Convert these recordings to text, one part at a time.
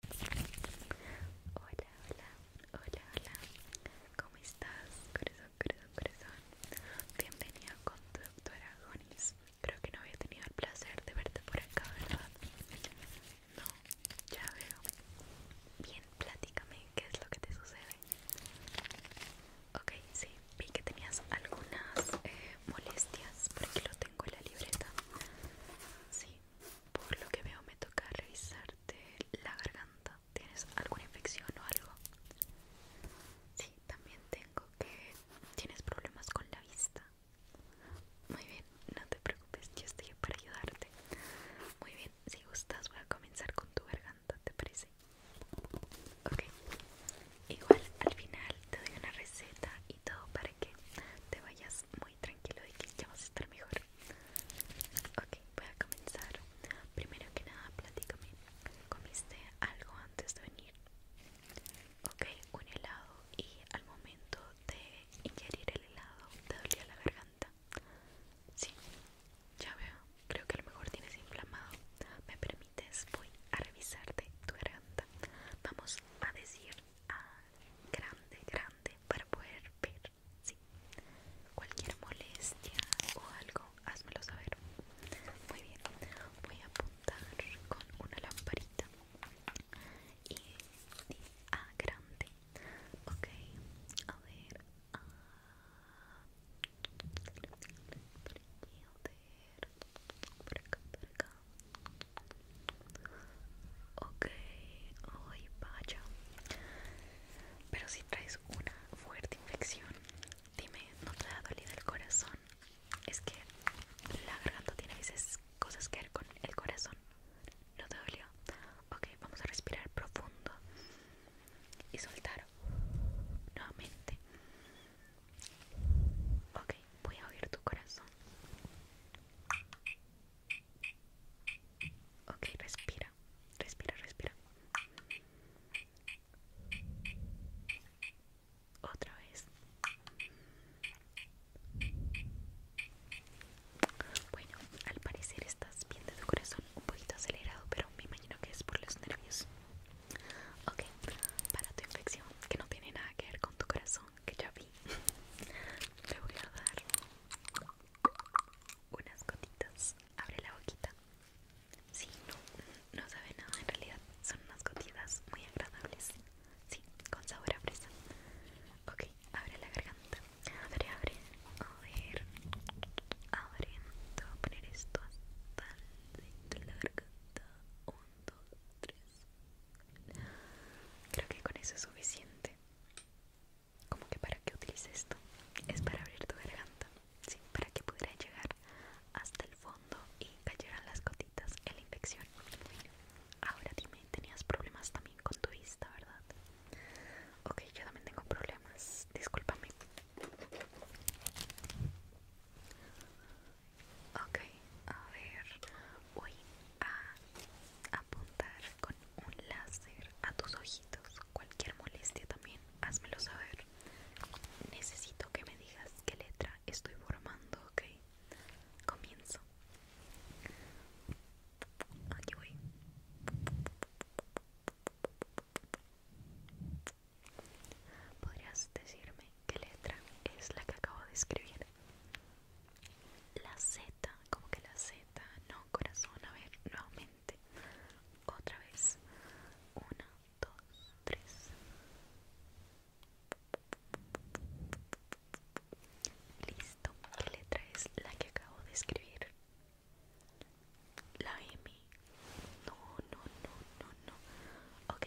Hola, hola, hola, hola. ¿Cómo estás? Corazón, corazón, corazón. Bienvenido con tu doctora Creo que no había tenido el placer de verte por acá, ¿verdad? No, ya veo. Bien, platícame qué es lo que te sucede. Ok, sí, vi que tenías algunas eh, molestias. Porque lo tengo en la libreta. Sí, por lo que veo me toca revisarte la garganta. ¿Tienes alguna infección o algo? Sí, también tengo que... ¿Tienes problemas con la vista? Muy bien, no te preocupes, yo estoy para ayudarte. Muy bien, si gustas voy a comenzar con tu garganta, ¿te parece? Ok, igual al final te doy una receta y todo para que te vayas tranquilo de que ya vas a estar mejor. Ok, voy a comenzar. Primero que nada, platícame. ¿Comiste algo antes de venir? Ok, un helado y al momento de ingerir el helado te dolía la garganta. Sí, ya veo. Creo que a lo mejor tienes inflamado. ¿Me permites? Voy a revisarte tu garganta. Vamos a decir a ah, grande, grande para poder ver. Cualquier molestia o algo, házmelo saber. Muy bien, voy a apuntar con una lamparita y, a ah, grande. Ok, a ver. Ah. a ver. Por acá, por acá. Okay, hoy vaya Pero si traes una fuerte infección Dime, ¿no te ha dolido el corazón? Es que la garganta tiene a veces cosas que ver con el corazón ¿No te dolió? Ok, vamos a respirar profundo Y soltar nuevamente Ok, voy a oír tu corazón. Ok, respira, respira, respira. Otra vez. Bueno, al parecer estás bien tu corazón un poquito acelerado, pero me imagino que es por los nervios. Ok, para tu infección, que no tiene nada que ver con tu corazón que ya vi le voy a dar unas gotitas abre la boquita Si, no no sabe nada en realidad son unas gotitas muy agradables sí con sabor a fresa ok abre la garganta abre abre a ver abre te voy a poner esto hasta la garganta Un, dos, tres Creo que con eso es suficiente. Como que para que utilice esto es para abrir tu garganta, sí, para que pudiera llegar hasta el fondo y cayeran las gotitas en la infección. Ahora dime, tenías problemas también con tu vista, ¿verdad? Ok, yo también tengo problemas, discúlpame. Ok, a ver, voy a apuntar con un láser a tus ojitos. Cualquier molestia también, házmelo saber. Necesito que me digas qué letra estoy formando, ok. Comienzo. Aquí voy. ¿Podrías decirme qué letra es la que acabo de escribir? La Z, como que la Z, no corazón, a ver, nuevamente, otra vez, una, dos, tres. Listo, ¿qué letra es la que acabo de escribir? La M. No, no, no, no, no. Ok,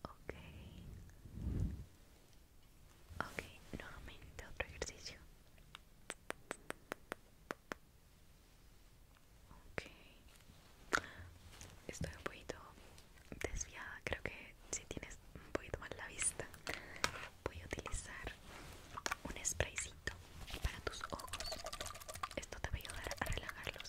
Ok. Ok, nuevamente otro ejercicio. Ok. Estoy un poquito desviada, creo que si tienes un poquito mal la vista, voy a utilizar un spraycito para tus ojos. Esto te va a ayudar a relajarlos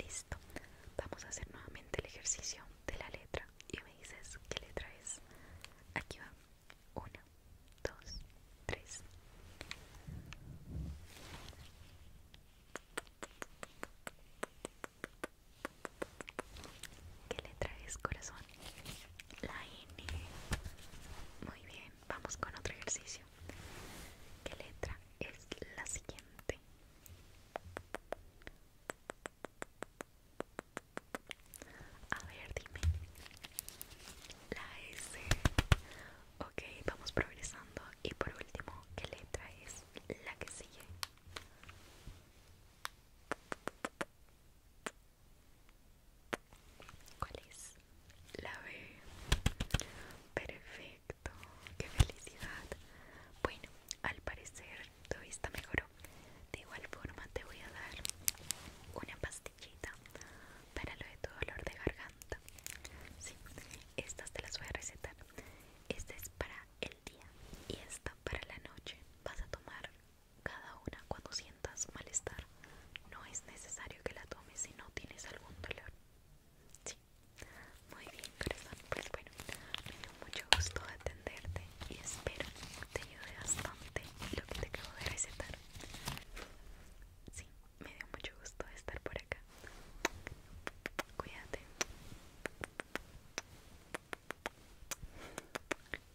Listo. Vamos a hacer nuevamente el ejercicio de la letra. Y me dices qué letra es. Aquí va. 1, 2, 3 ¿Qué letra es, corazón? La N. Muy bien, vamos con otro ejercicio. ¿Qué letra es la siguiente? A ver, dime. La S. Ok, vamos progresando. Y por último, ¿qué letra es la que sigue? ¿Cuál es? La B. Perfecto perfecto, qué felicidad. Bueno, al parecer tu vista mejoró. De igual forma te voy a dar una pastillita para lo de tu dolor de garganta. Sí, estas te las voy a recetar. Esta es para el día y esta para la noche. Vas a tomar cada una cuando sientas malestar. No es necesario que la tomes si no tienes algún dolor. Sí. Muy bien, corazón. Pues bueno, me dio mucho gusto atenderte y espero que te ayude bastante lo que te acabo de recetar. Sí, me dio mucho gusto estar por acá. Cuídate.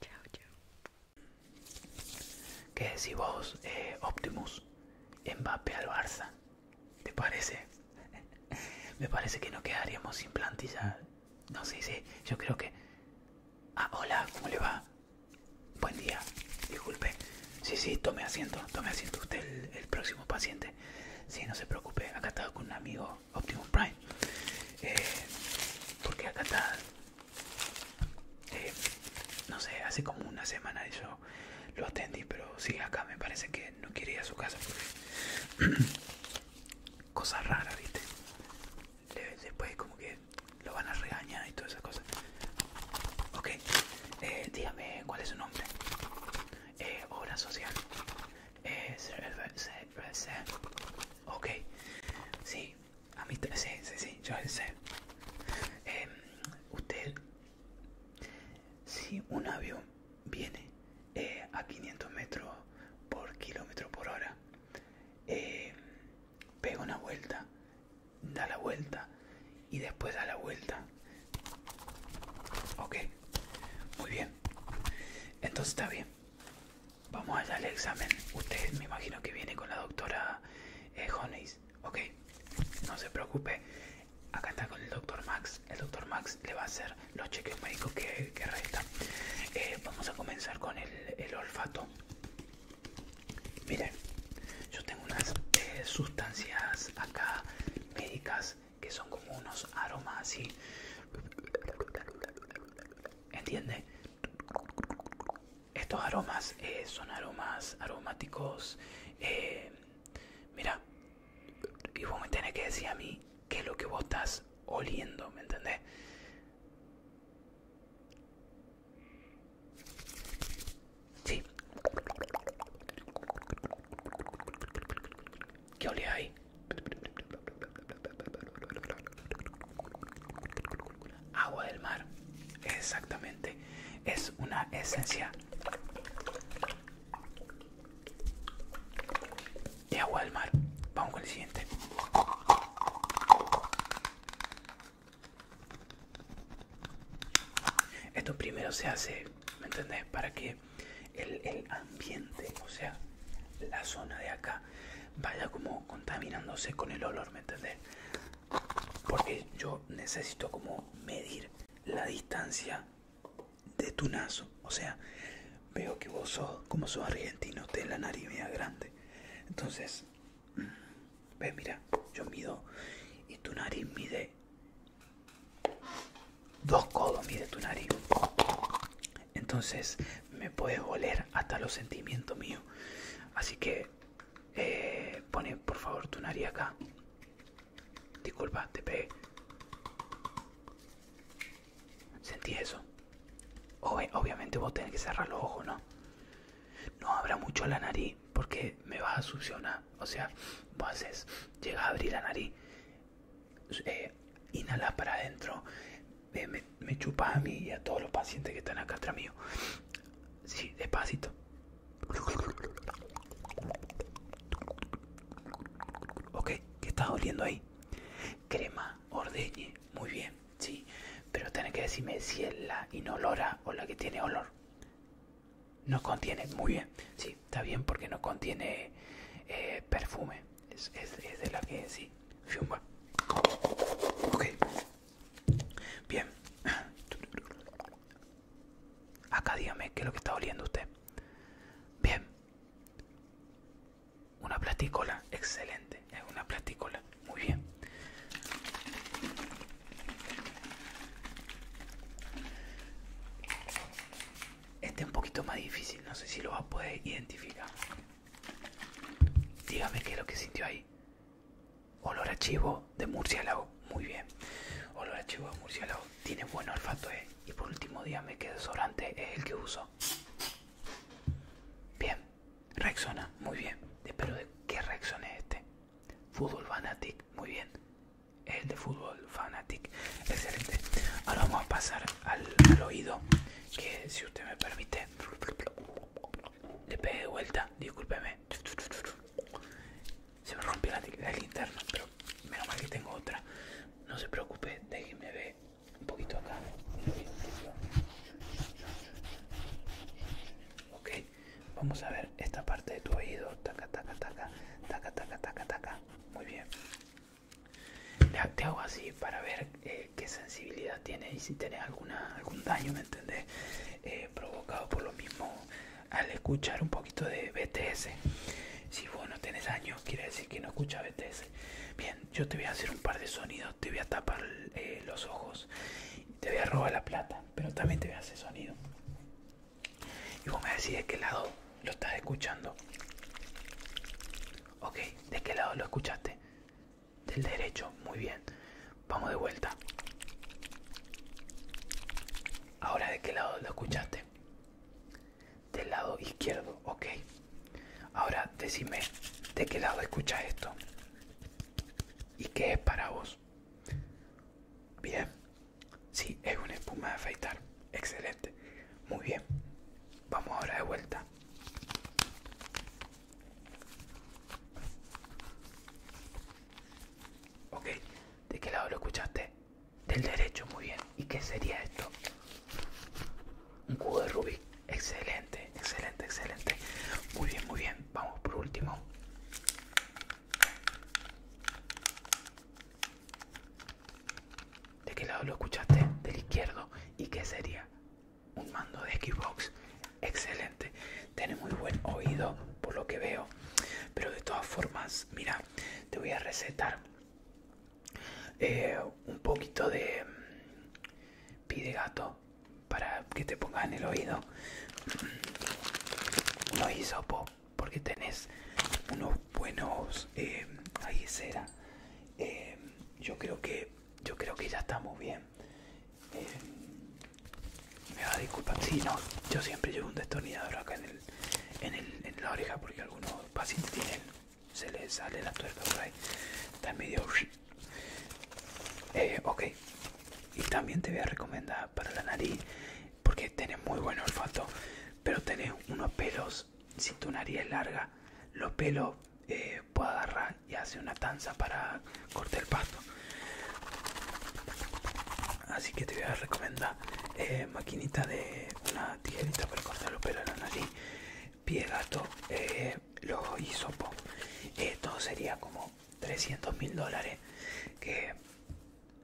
Chao, chao. ¿Qué decís vos, eh, Optimus? Mbappé al Barça. ¿Te parece? Me parece que no quedaríamos sin plantilla. No sé, sí, yo creo que... Ah, hola, ¿cómo le va? Buen día, disculpe. Sí, sí, tome asiento, tome asiento usted el, el próximo paciente. Sí, no se preocupe, acá está con un amigo Optimum Prime. Eh, porque acá está eh, no sé, hace como una semana yo lo atendí, pero si acá, me parece que no quería su casa porque... Cosa rara, viste. después como que lo van a regañar y todas esas cosas. Ok, eh, dígame cuál es su nombre. Eh, obra social. Eh, ok, sí, a mí sí, sí, sí, yo sé usted si un avión viene eh, a 500 metros por kilómetro por hora eh, pega una vuelta da la vuelta y después da la vuelta ok muy bien entonces está bien vamos a al examen usted me imagino que viene con la doctora eh, ok. No se preocupe, acá está con el doctor Max. El doctor Max le va a hacer los chequeos médicos que, que eh, vamos a comenzar con el, olfato. Miren, yo tengo unas eh, sustancias acá médicas que son como unos aromas y, ¿Entiende? estos aromas eh, son aromas aromáticos. Eh, mira, y vos me tenés que decir a mí qué es lo que vos estás oliendo, ¿me entendés? Sí. ¿Qué olía ahí? Agua del mar. Exactamente. Es una esencia de agua del mar. Vamos con el siguiente. Esto primero se hace, ¿me entendés? Para que el, el ambiente, o sea, la zona de acá, vaya como contaminándose con el olor, ¿me entendés? porque yo necesito como medir la distancia de tu naso. O sea, veo que vos sos, como sos argentino, tenés la nariz media grande. Entonces, mm, ve mira, yo mido y tu nariz mide dos codos, mide tu nariz. Entonces, me puedes oler hasta los sentimientos míos. Así que eh, pone por favor tu nariz acá. Disculpa, te pegué. Sentí eso. obviamente vos tenés que cerrar los ojos, ¿no? No abra mucho la nariz porque me vas a succionar. O sea, vos haces, llegas a abrir la nariz, eh, inhalar para adentro, me, chupas a mí y a todos los pacientes que están acá atrás mío. Sí, despacito. Ok, ¿qué estás oliendo ahí? Crema, ordeñe, muy bien, sí. Pero tenés que decirme si es la inolora o la que tiene olor. No contiene, muy bien. Sí, está bien porque no contiene eh, perfume. Es, de la que sí. Fiumba. Ok, Bien. Acá dígame qué es lo que está oliendo usted. Bien. Una platícola. Excelente. Es una platícola. Muy bien. Este es un poquito más difícil. No sé si lo va a poder identificar. Dígame qué es lo que sintió ahí. Olor archivo chivo de murciélago. Muy bien. Olor a chivo de murciélago. Tiene buen olfato, ¿eh? Y por último, dígame qué desodorante es el que uso. Bien. Rexona. Muy bien. Pero de qué reacción este. Fútbol Fanatic. Muy bien. El de Fútbol Fanatic. Excelente. Ahora vamos a pasar al oído. Que si usted me permite le pegué de vuelta, discúlpeme. Se me rompió la, linterna, pero menos mal que tengo otra. No se preocupe, déjenme ver un poquito acá. Ok, vamos a ver esta parte de tu oído. Taca, taca, taca, taca, taca, taca, taca. Muy bien te hago así para ver eh, qué sensibilidad tiene y si tenés algún daño, ¿me entendés? Eh, provocado por lo mismo al escuchar un poquito de BTS. Si vos no tenés daño, quiere decir que no escuchas BTS. Bien, yo te voy a hacer un par de sonidos, te voy a tapar eh, los ojos, te voy a robar la plata, pero también te voy a hacer sonido. Y vos me decís de qué lado lo estás escuchando. Ok, ¿de qué lado lo escuchaste? Del derecho, muy bien. Vamos de vuelta. Ahora, ¿de qué lado lo escuchaste? Del lado izquierdo, ok. Ahora, decime, ¿de qué lado escuchas esto? ¿Y qué es para vos? Bien. Si es una espuma de afeitar. Excelente. Muy bien. Vamos ahora de vuelta. Ok, ¿de qué lado lo escuchaste? Del derecho, muy bien. ¿Y qué sería esto? Un cubo de rubí. Excelente, excelente, excelente. Muy bien, muy bien. Vamos por último. ¿De qué lado lo escuchaste? Del izquierdo. ¿Y qué sería? Un mando de Xbox. Excelente. Tiene muy buen oído, por lo que veo. Pero de todas formas, mira, te voy a recetar eh, un poquito de mm, pide gato para que te pongas en el oído. Mm, un hisopo porque tenés unos buenos em, ahí será em, yo creo que yo creo que ya estamos bien em, me va a disculpar si no yo siempre llevo un destornillador acá en el, en la oreja porque algunos pacientes tienen se les sale la tuerca por está medio eh, ok y también te voy a recomendar para la nariz porque tenés muy buen olfato pero tenés unos pelos si tu nariz es larga, los pelos eh, puedo agarrar y hacer una tanza para cortar el pasto. Así que te voy a recomendar eh, maquinita de una tijerita para cortar los pelos de la nariz, pie gato, eh, los hisopos. Esto sería como 300 mil dólares que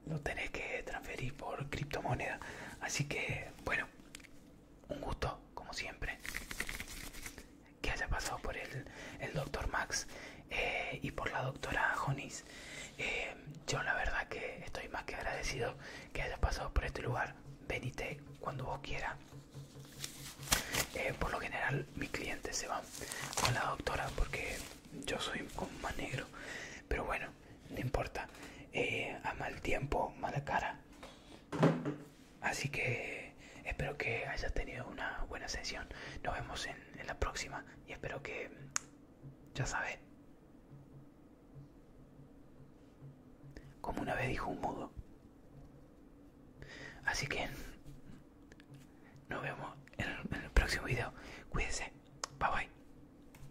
lo tenés que transferir por criptomoneda. Así que, bueno, un gusto, como siempre, que haya pasado por el, el doctor Max eh, y por la doctora Jonis. Eh, yo la verdad que estoy más que agradecido que hayas pasado por este lugar. Venite cuando vos quieras. Eh, por lo general mis clientes se van con la doctora porque yo soy como más negro. Pero bueno, no importa. Eh, a mal tiempo, mala cara. Así que espero que hayas tenido una buena sesión. Nos vemos en, la próxima y espero que, ya sabes, como una vez dijo un mudo. Así que nos vemos en el, próximo video. Cuídense. Bye bye.